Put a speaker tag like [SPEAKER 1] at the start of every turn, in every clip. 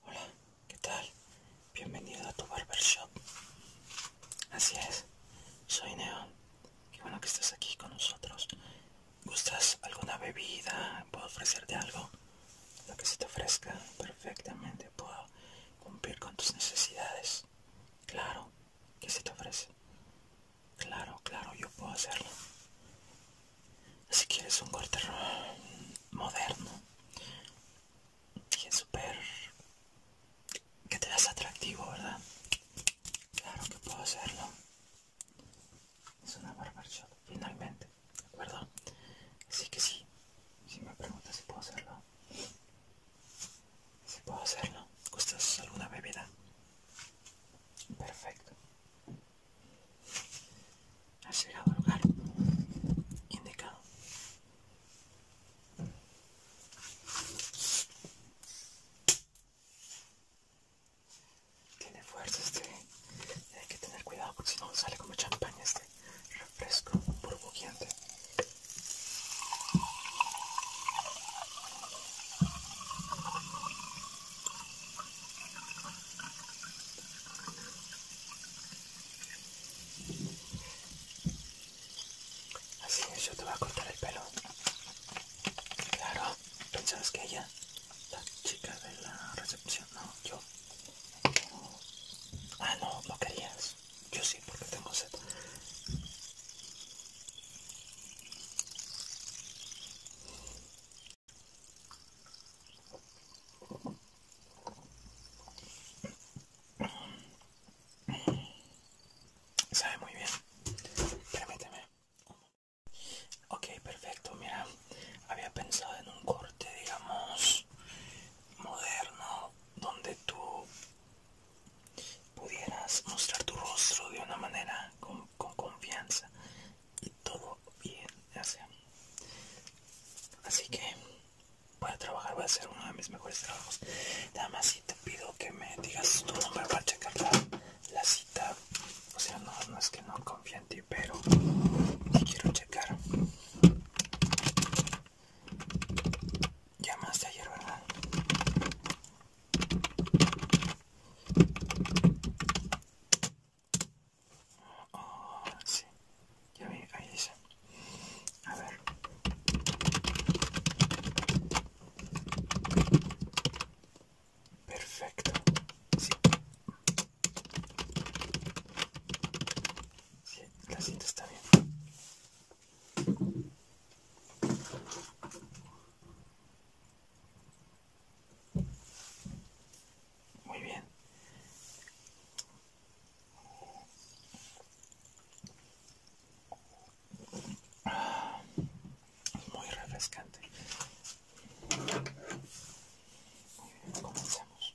[SPEAKER 1] Hola, ¿qué tal? Bienvenido a tu barbershop. Así es, soy Neon. Qué bueno que estás aquí con nosotros. ¿Gustas alguna bebida? ¿Puedo ofrecerte algo? Lo que se te ofrezca, perfectamente puedo cumplir con tus necesidades. Claro, ¿qué se te ofrece? Claro, claro, yo puedo hacerlo si quieres un corte moderno que es súper que te das atractivo verdad claro que puedo hacerlo es una barbaridad finalmente de acuerdo así que sí si me preguntas si puedo hacerlo si puedo hacerlo gustas alguna bebida perfecto ha llegado el lugar indicado. Tiene fuerza este, hay que tener cuidado porque si no sale como champaña este refresco burbujeante. Así es, yo te voy a cortar el pelo. Claro, pensabas que ella, la chica de la recepción, no, yo. Ah, no, no querías. Yo sí, porque tengo sed. Sabe muy bien. Permíteme. Ok, perfecto. Mira, había pensado en un corte, digamos, moderno, donde tú pudieras mostrar tu rostro de una manera con, confianza y todo bien Así que voy a trabajar, voy a hacer uno de mis mejores trabajos. Nada más si te pido que me digas tu nombre para checar la, cita. O sea, no, es que no confíe en ti, pero te quiero checar. Llamaste ayer, ¿verdad? sí, ya vi, ahí dice. A ver. Perfecto. Sí. sí. La cinta está bien. Muy bien. Es muy refrescante. Muy bien, comencemos.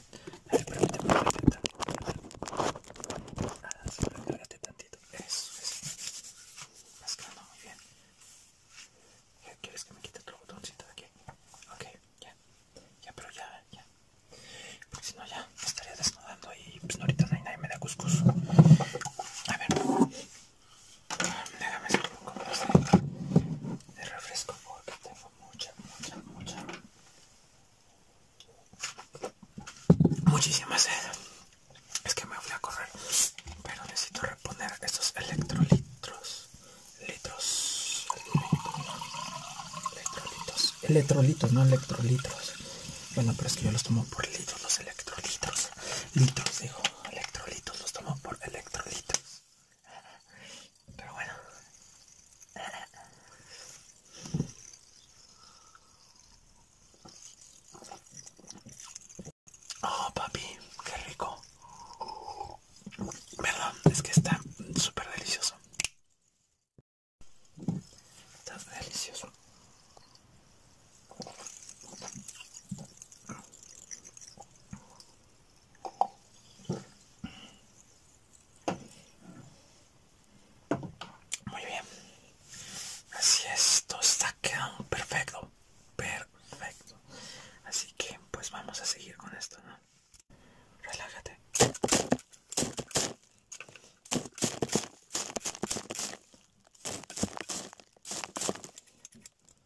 [SPEAKER 1] A ver, permíteme la receta. Nada, solo cárgate tantito. Eso, eso. Mezclando muy bien. ¿Quieres que me quite otro botoncito de aquí? Ok, ya. Ya, pero ya, ya. Porque si no, ya me estaría desnudando y pues ahorita no nadie me da cuscus. A ver, déjame hacer un poco de refresco porque tengo mucha, mucha, mucha Muchísimas sed. Es que me voy a correr, pero necesito reponer estos electrolitos. Litros. Electrolitos. Electrolitos, no electrolitos. Bueno, pero es que yo los tomo por litros, los electrolitos, Litros, digo. Electrolitos, los tomo por electrolitos. Pero bueno. Oh, papi, qué rico. Verdad es que está súper delicioso. Está delicioso. Muy bien. Así esto está quedando perfecto. Perfecto. Así que pues vamos a seguir con esto, ¿no? Relájate.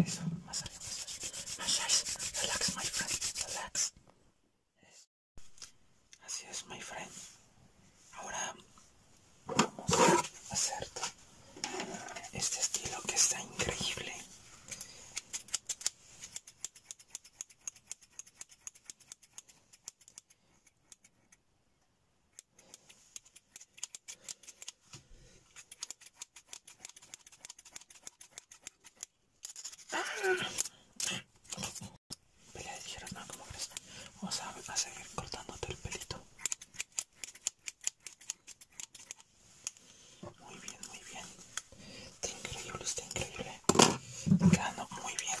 [SPEAKER 1] Eso, más arriba, masaje. Masaje. Relax, my friend. Relax. Así es, my friend. Ahora vamos a hacer este estilo que está increíble. Pelea de dijeron, no, como crees? Vamos a, seguir cortándote el pelito. Muy bien, muy bien. Está increíble, está increíble. Está muy bien.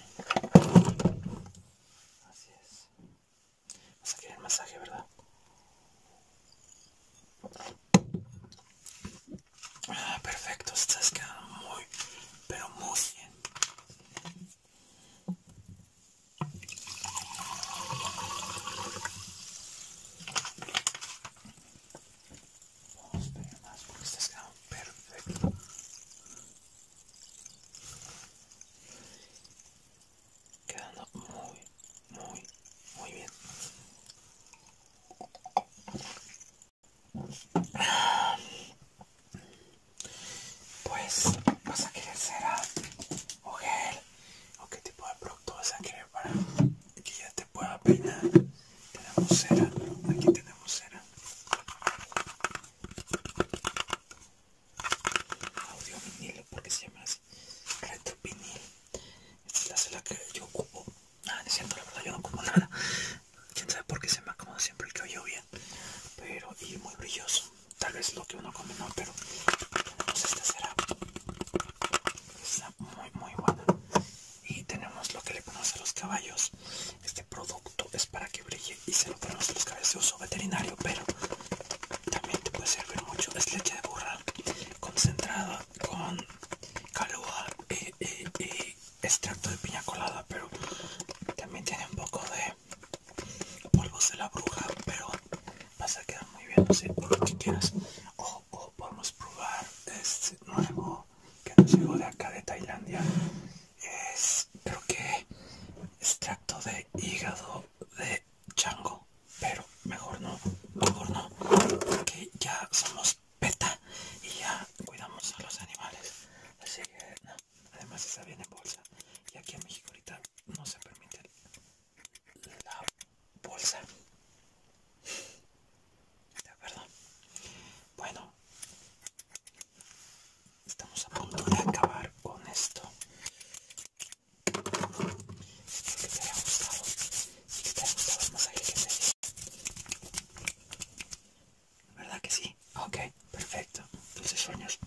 [SPEAKER 1] Así es. Vas a querer masaje, ¿verdad? Ah, perfecto, estás quedando muy, pero muy bien. Vamos a pegar más porque estas quedan perfecto. Quedando muy, muy, muy bien. Pues, ¿vas a querer cera o gel? ¿O qué tipo de producto vas a querer para que ya te pueda peinar? Tenemos cera, aquí tenemos cera audio vinilo porque se llama así Reto vinil esta es la que yo ocupo ah, nada es cierto la verdad yo no como nada quién sabe por qué se me acomoda siempre el que oye bien pero y muy brilloso tal vez lo que uno come no pero esta será está muy muy buena y tenemos lo que le conoce a los caballos este producto es para que brille y se lo ponemos a los caballos de uso veterinario pero también te puede servir mucho es leche de burra concentrada con calúa y, eh, eh, eh, extracto de piña colada pero también tiene un poco de polvos de la bruja pero vas a quedar muy bien así lo que quieras o podemos probar este nuevo que nos de acá de Tailandia es creo que extracto de hígado de chango pero mejor no mejor no porque ya somos peta y ya cuidamos a los animales así que además está bien en bolsa y aquí en México ahorita no se permite la bolsa de acuerdo bueno estamos a punto de acabar con esto espero que te haya gustado y que te haya gustado el masaje que te verdad que sí ok perfecto dulces sueños